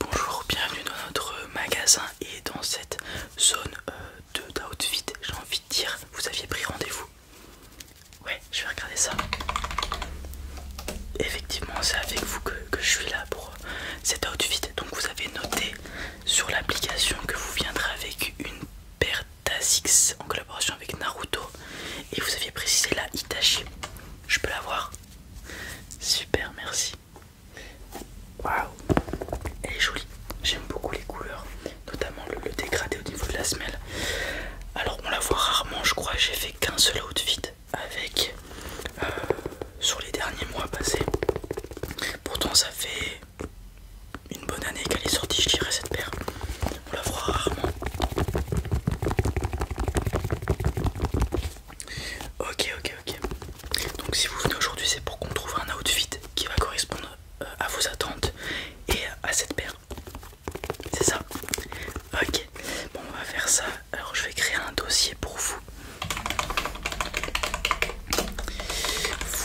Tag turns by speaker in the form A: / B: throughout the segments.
A: Bonjour, bienvenue dans notre magasin et dans cette zone euh, d'outfit, j'ai envie de dire, vous aviez pris rendez-vous. Ouais, je vais regarder ça. Effectivement, c'est avec vous que, je suis là pour euh, cet outfit. Donc vous avez noté sur l'application que vous viendrez avec une paire d'Asics en collaboration avec Naruto et vous aviez précisé la Itachi. Je peux la voir Super, merci. Waouh, elle est jolie. J'aime beaucoup les couleurs, notamment le, dégradé au niveau de la semelle. Alors, on la voit rarement, je crois. J'ai fait qu'un seul outfit avec euh, sur les derniers mois passés. Pourtant, ça fait une bonne année qu'elle est sortie, je dirais, cette paire. On la voit rarement. Ok, ok, ok. Donc si vous venez aujourd'hui, c'est pour qu'on trouve un outfit qui va correspondre euh, à vos attentes et à cette paire. C'est ça Ok. Bon, on va faire ça. Alors je vais créer un dossier pour vous.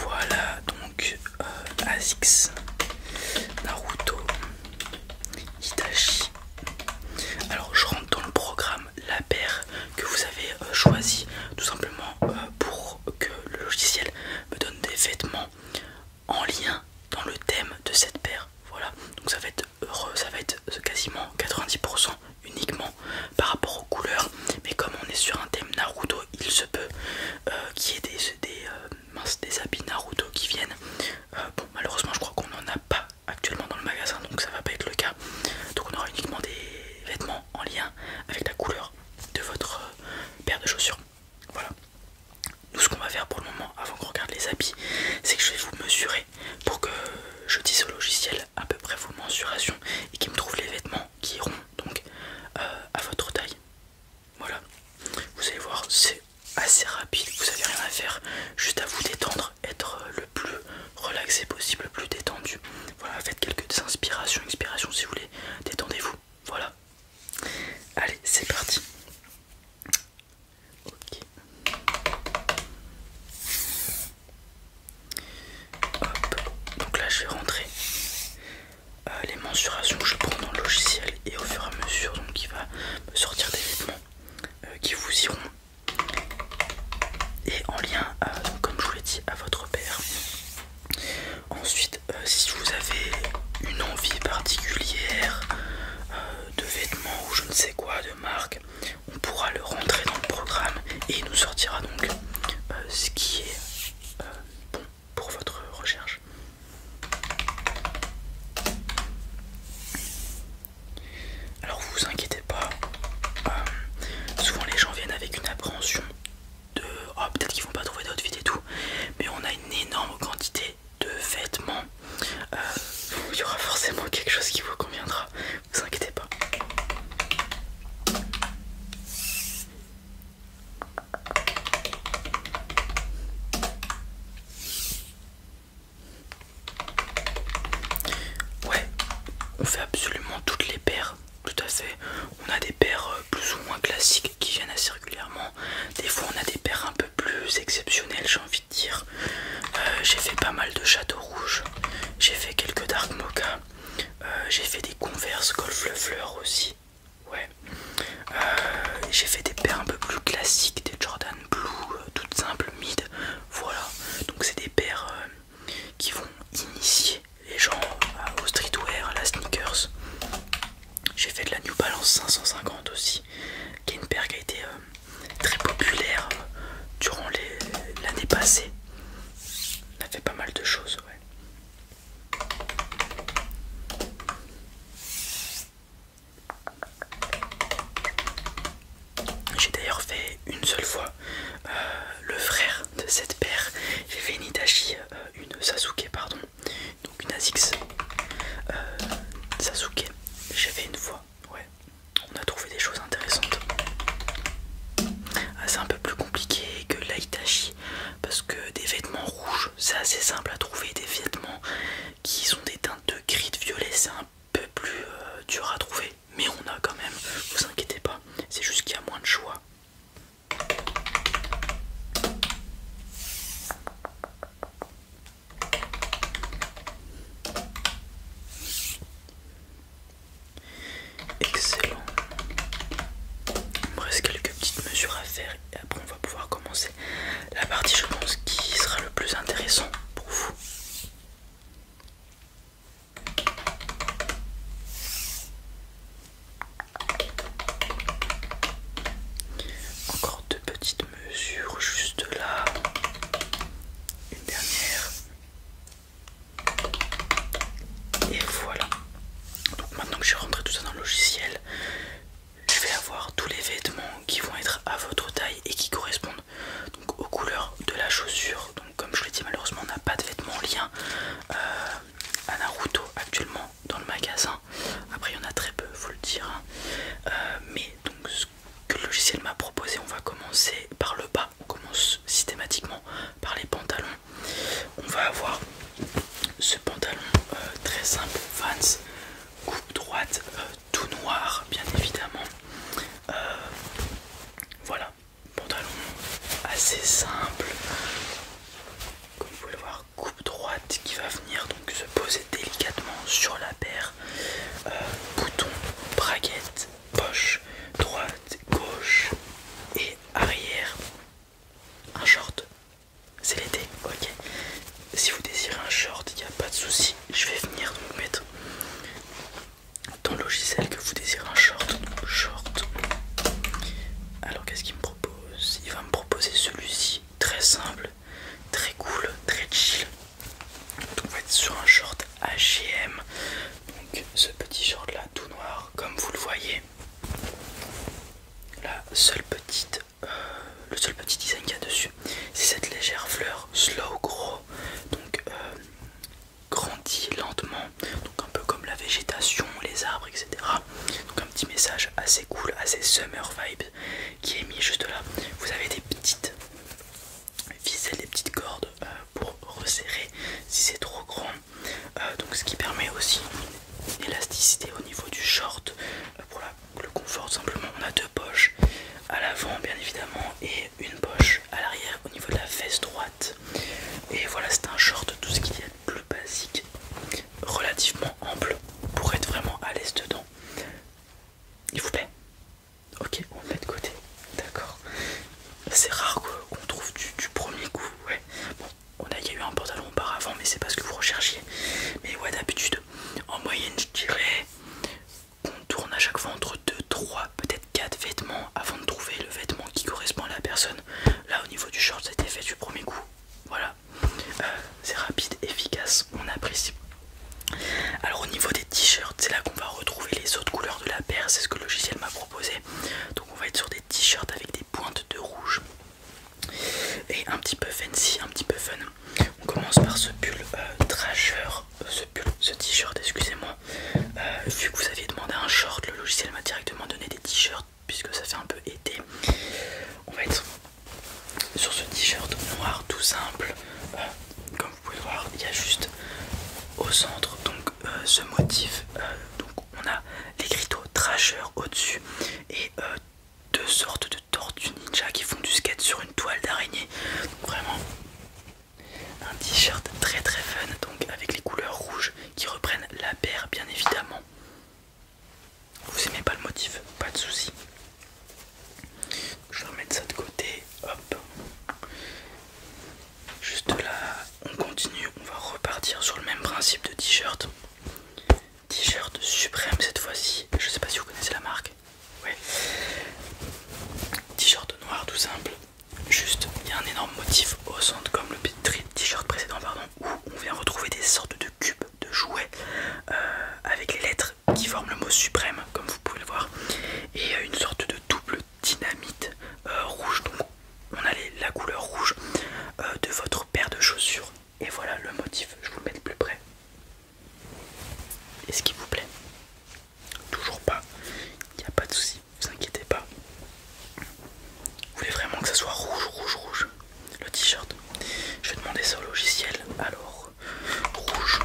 A: Voilà, donc euh, Asics, Azix, Naruto, Hitachi, alors je rentre dans le programme la paire que vous avez choisie, euh, choisi tout simplement euh, pour que le logiciel me donne des vêtements en lien dans le thème de cette paire. Voilà, donc ça va être heureux, ça va être euh, quasiment 90% uniquement par rapport aux couleurs. Mais comme on est sur un thème Naruto, il se peut qu'il y ait des, des, mince, des habits Naruto qui viennent. Euh, malheureusement, je crois qu'on n'en a pas actuellement dans le magasin, donc ça va pas être le cas. Donc, on aura uniquement des vêtements en lien avec la couleur de votre euh, paire de chaussures. Voilà. Nous, ce qu'on va faire pour le moment, avant qu'on regarde les habits, c'est que je vais vous mesurer pour que je dise au logiciel à peu près vos mensurations et qu'il me trouve les vêtements qui iront donc euh, à votre taille. Voilà, vous allez voir, c'est assez rapide, vous n'avez rien à faire, juste à vous détendre, être euh, le plus relaxé possible, le plus détendu. Voilà, faites quelques inspirations, expirations si vous voulez, détendez-vous. Voilà, allez, c'est parti. Ok. Donc là, je vais rentrer euh, les mensurations que je prends dans le logiciel et au fur et à mesure donc il va me sortir des vêtements euh, qui vous iront et en lien euh, comme je vous l'ai dit à votre père ensuite euh, si vous avez une envie particulière de vêtements ou je ne sais quoi de marque on pourra le rentrer dans le programme et il nous sortira donc ce qui est bon pour votre recherche. Alors vous inquiétez pas, euh, souvent les gens viennent avec une appréhension de oh, peut-être qu'ils vont pas trouver d'autres et tout, mais on a une énorme quantité de vêtements. Euh, il y aura forcément quelque chose qui vous conviendra, vous inquiétez pas. Ouais, on fait absolument toutes les paires, tout à fait. On a des paires euh, plus ou moins classiques qui viennent assez régulièrement. Des fois, on a des paires un peu plus exceptionnelles, j'ai envie de dire. Euh, j'ai fait pas mal de châteaux rouges, j'ai fait quelques dark mocha, euh, j'ai fait des converse golf le fleur aussi. Ouais. Euh, j'ai fait des paires un peu plus classiques, des Jordan Blue, euh, toutes simples, mid. Voilà. Donc c'est des paires euh, qui vont initier les gens au streetwear, à la sneakers. J'ai fait de la New Balance 550 aussi, qui est une paire qui a été très populaire durant l'année passée. On a fait pas mal de choses, ouais. J'ai d'ailleurs fait une seule fois euh, le frère de cette paire. J'ai fait une une Sasuke, pardon, donc une Azix euh, Sasuke. J'ai fait une fois, ouais. On a trouvé des choses intéressantes. Ah, c'est un peu plus compliqué que la parce que des vêtements rouges c'est assez simple à trouver des vêtements qui sont des teintes de gris de violet c'est un peu plus euh, dur à trouver mais on a quand même vous inquiétez pas c'est juste qu'il y a moins de choix Excellent. Il me reste quelques petites mesures à faire et après on va pouvoir commencer la partie je pense qui sera le plus intéressant pour vous. Encore deux petites mesures juste là. Une dernière. Et voilà. Donc maintenant que j'ai rentré tout ça dans le logiciel, je vais avoir tous les vêtements qui vont être à votre taille et qui correspondent aux couleurs de la chaussure. Donc comme je l'ai dit malheureusement on n'a pas de vêtements liés euh, à Naruto actuellement dans le magasin. Après il y en a très peu, faut le dire. Hein. Euh, mais donc ce que le logiciel m'a proposé, on va commencer par le bas. On commence systématiquement par les pantalons. On va avoir ce pantalon euh, très simple, Vans, coupe droite, euh, tout noir, bien évidemment. Euh, voilà, pantalon assez simple, comme vous pouvez le voir, coupe droite qui va venir donc se poser délicatement sur la paire, bouton braguette poche droite, gauche et arrière. Un short, c'est l'été, ok. Si vous désirez un short, il n'y a pas de souci. Je vais venir donc mettre dans le logiciel que vous désirez un short. short. Alors qu'est-ce qu'il me propose Il va me proposer celui-ci, très simple, très cool, très chill. Donc on va être sur un short H&M donc ce petit short là tout noir comme vous le voyez. La seule petite, euh, le seul petit design qu'il y a dessus, c'est cette légère fleur slow grow, donc euh, grandit lentement, donc un peu comme la végétation, les arbres, etc. Donc un petit message assez cool, assez summer vibes qui est mis juste là. Vous avez des petites viser les petites cordes euh, pour resserrer si c'est trop grand euh, donc ce qui permet aussi une élasticité au niveau du short euh, pour le confort simplement on a deux poches à l'avant bien évidemment et une poche à l'arrière au niveau de la fesse droite et voilà c'est un short tout ce qu'il y a de plus basique relativement ample pour être vraiment à l'aise dedans il vous plaît Ok, on met de côté. D'accord. C'est rare qu'on trouve du, premier coup. Ouais. Bon, on a, y a eu un pantalon auparavant, mais c'est pas ce que vous recherchiez. Mais ouais, d'habitude, en moyenne, je dirais qu'on tourne à chaque fois entre 2, 3, peut-être 4 vêtements avant de trouver le vêtement qui correspond à la personne. Là, au niveau du short, c'était fait du premier coup. Voilà. Euh, c'est rapide, efficace, on apprécie. Alors au niveau des t-shirts, c'est là qu'on va retrouver les autres couleurs de la paire, c'est ce que le logiciel m'a proposé. Donc on va être sur des t-shirts avec des pointes de rouge et un petit peu fancy, un petit peu fun. On commence par ce pull drageur, euh, ce pull, ce t-shirt, excusez-moi. Euh, vu que vous aviez demandé un short, le logiciel m'a directement donné des t-shirts puisque ça fait un peu été. On va être sur ce t-shirt noir tout simple. Euh, vous pouvez voir, il y a juste au centre donc euh, ce motif. Euh, donc on a les l'écriteau Trasheur au-dessus et euh, deux sortes de tortues ninja qui font du skate sur une toile d'araignée. vraiment un t-shirt très très fun donc avec les couleurs rouges qui reprennent la paire bien évidemment. Vous aimez pas le motif, pas de souci. Je vais remettre ça de côté. Hop. Juste là, on continue. On va repartir sur le même principe de t-shirt. T-shirt suprême cette fois-ci. Je ne sais pas si vous connaissez la marque. Ouais. T-shirt noir tout simple. Juste, il y a un énorme motif au centre comme le t-shirt précédent, pardon, où on vient retrouver des sortes de cubes de jouets euh, avec les lettres qui forment le mot suprême, comme vous pouvez le voir, et euh, une sorte de double dynamite euh, rouge. Donc, on a la couleur rouge de votre paire de chaussures. Et voilà le motif, je vous le mets de plus près. Est-ce qu'il vous plaît Toujours pas, il n'y a pas de souci, vous inquiétez pas. Vous voulez vraiment que ça soit rouge, rouge, rouge, le t-shirt Je vais demander ça au logiciel. Alors, rouge.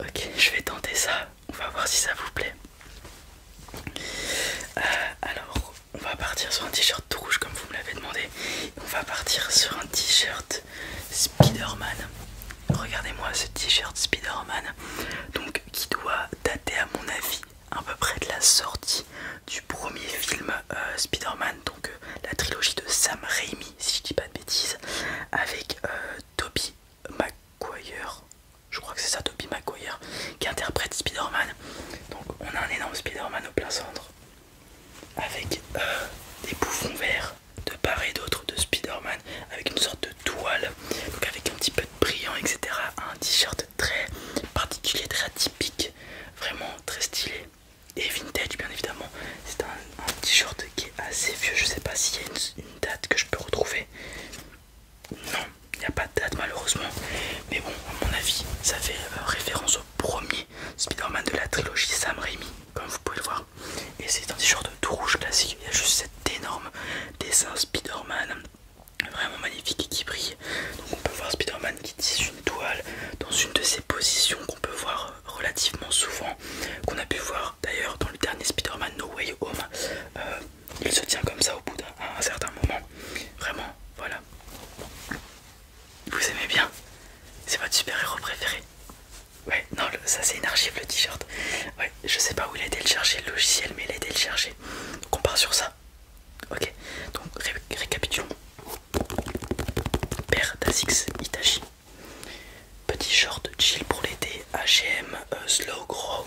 A: Ok, je vais tenter ça. On va voir si ça vous plaît. Euh, alors, on va partir sur un t-shirt rouge comme vous me l'avez demandé. On va partir sur un t-shirt spider Regardez-moi ce t-shirt spider Donc, qui doit dater à mon avis un peu près de la sortie du premier film euh, Spider-Man, donc euh, la trilogie de Sam Raimi, si je dis pas de bêtises, avec euh, Toby Maguire, je crois que c'est ça, Toby Maguire, qui interprète Spider-Man. Donc on a un énorme Spider-Man au plein centre, avec des bouffons verts de part et d'autre de Spider-Man, avec une sorte de toile, donc avec un petit peu de brillant, etc. Un t-shirt très particulier, très atypique, vraiment très stylé et vintage bien évidemment. C'est un, t-shirt qui est assez vieux, je sais pas s'il y a une, date que je peux retrouver. Non, il n'y a pas de date malheureusement, mais bon, à mon avis, ça fait euh, référence au premier Spider-Man de la trilogie Sam Raimi, comme vous pouvez le voir. Et c'est un t-shirt tout rouge classique, il y a juste cet énorme dessin Spider-Man vraiment magnifique et qui brille. Donc on peut voir Spider-Man qui tisse une toile dans une de ces positions qu'on peut voir relativement souvent, qu'on a pu voir d'ailleurs dans le dernier Spider-Man No Way Home. Euh, il se tient comme ça au bout d'un certain moment. Vraiment, voilà. Vous aimez bien C'est votre super-héros préféré Ouais, non, ça c'est une archive le t-shirt. Ouais, je sais pas où il a été le chercher, le logiciel, mais il a été le chercher. Donc on part sur ça. Ok, donc récapitulons. Paire d'Asix Itachi. Petit short chill pour l'été, HM, slow grow.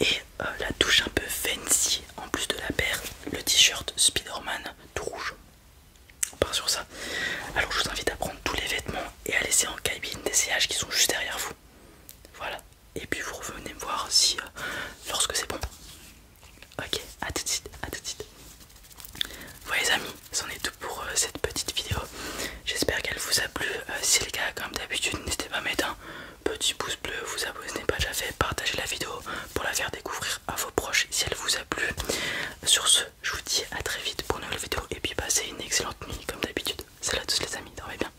A: Et euh, la touche un peu fancy en plus de la paire, le t-shirt spider tout rouge. On part sur ça. Alors je vous invite à prendre tous les vêtements et à laisser en cabine des CH qui sont juste derrière vous. Voilà, et puis vous revenez me voir si euh, lorsque c'est bon. Ok, à tout de suite, à tout de suite. Voilà les amis, c'en est tout pour euh, cette petite vidéo. J'espère qu'elle vous a plu. Euh, si c'est le cas, comme d'habitude, n'hésitez pas à mettre un petit pouce bleu, vous abonnez si n'est pas déjà fait, partagez la vidéo pour la faire découvrir à vos proches si elle vous a plu. Sur ce, je vous dis à très vite pour une nouvelle vidéo et puis passez une excellente nuit comme d'habitude. Salut à tous les amis, dormez bien.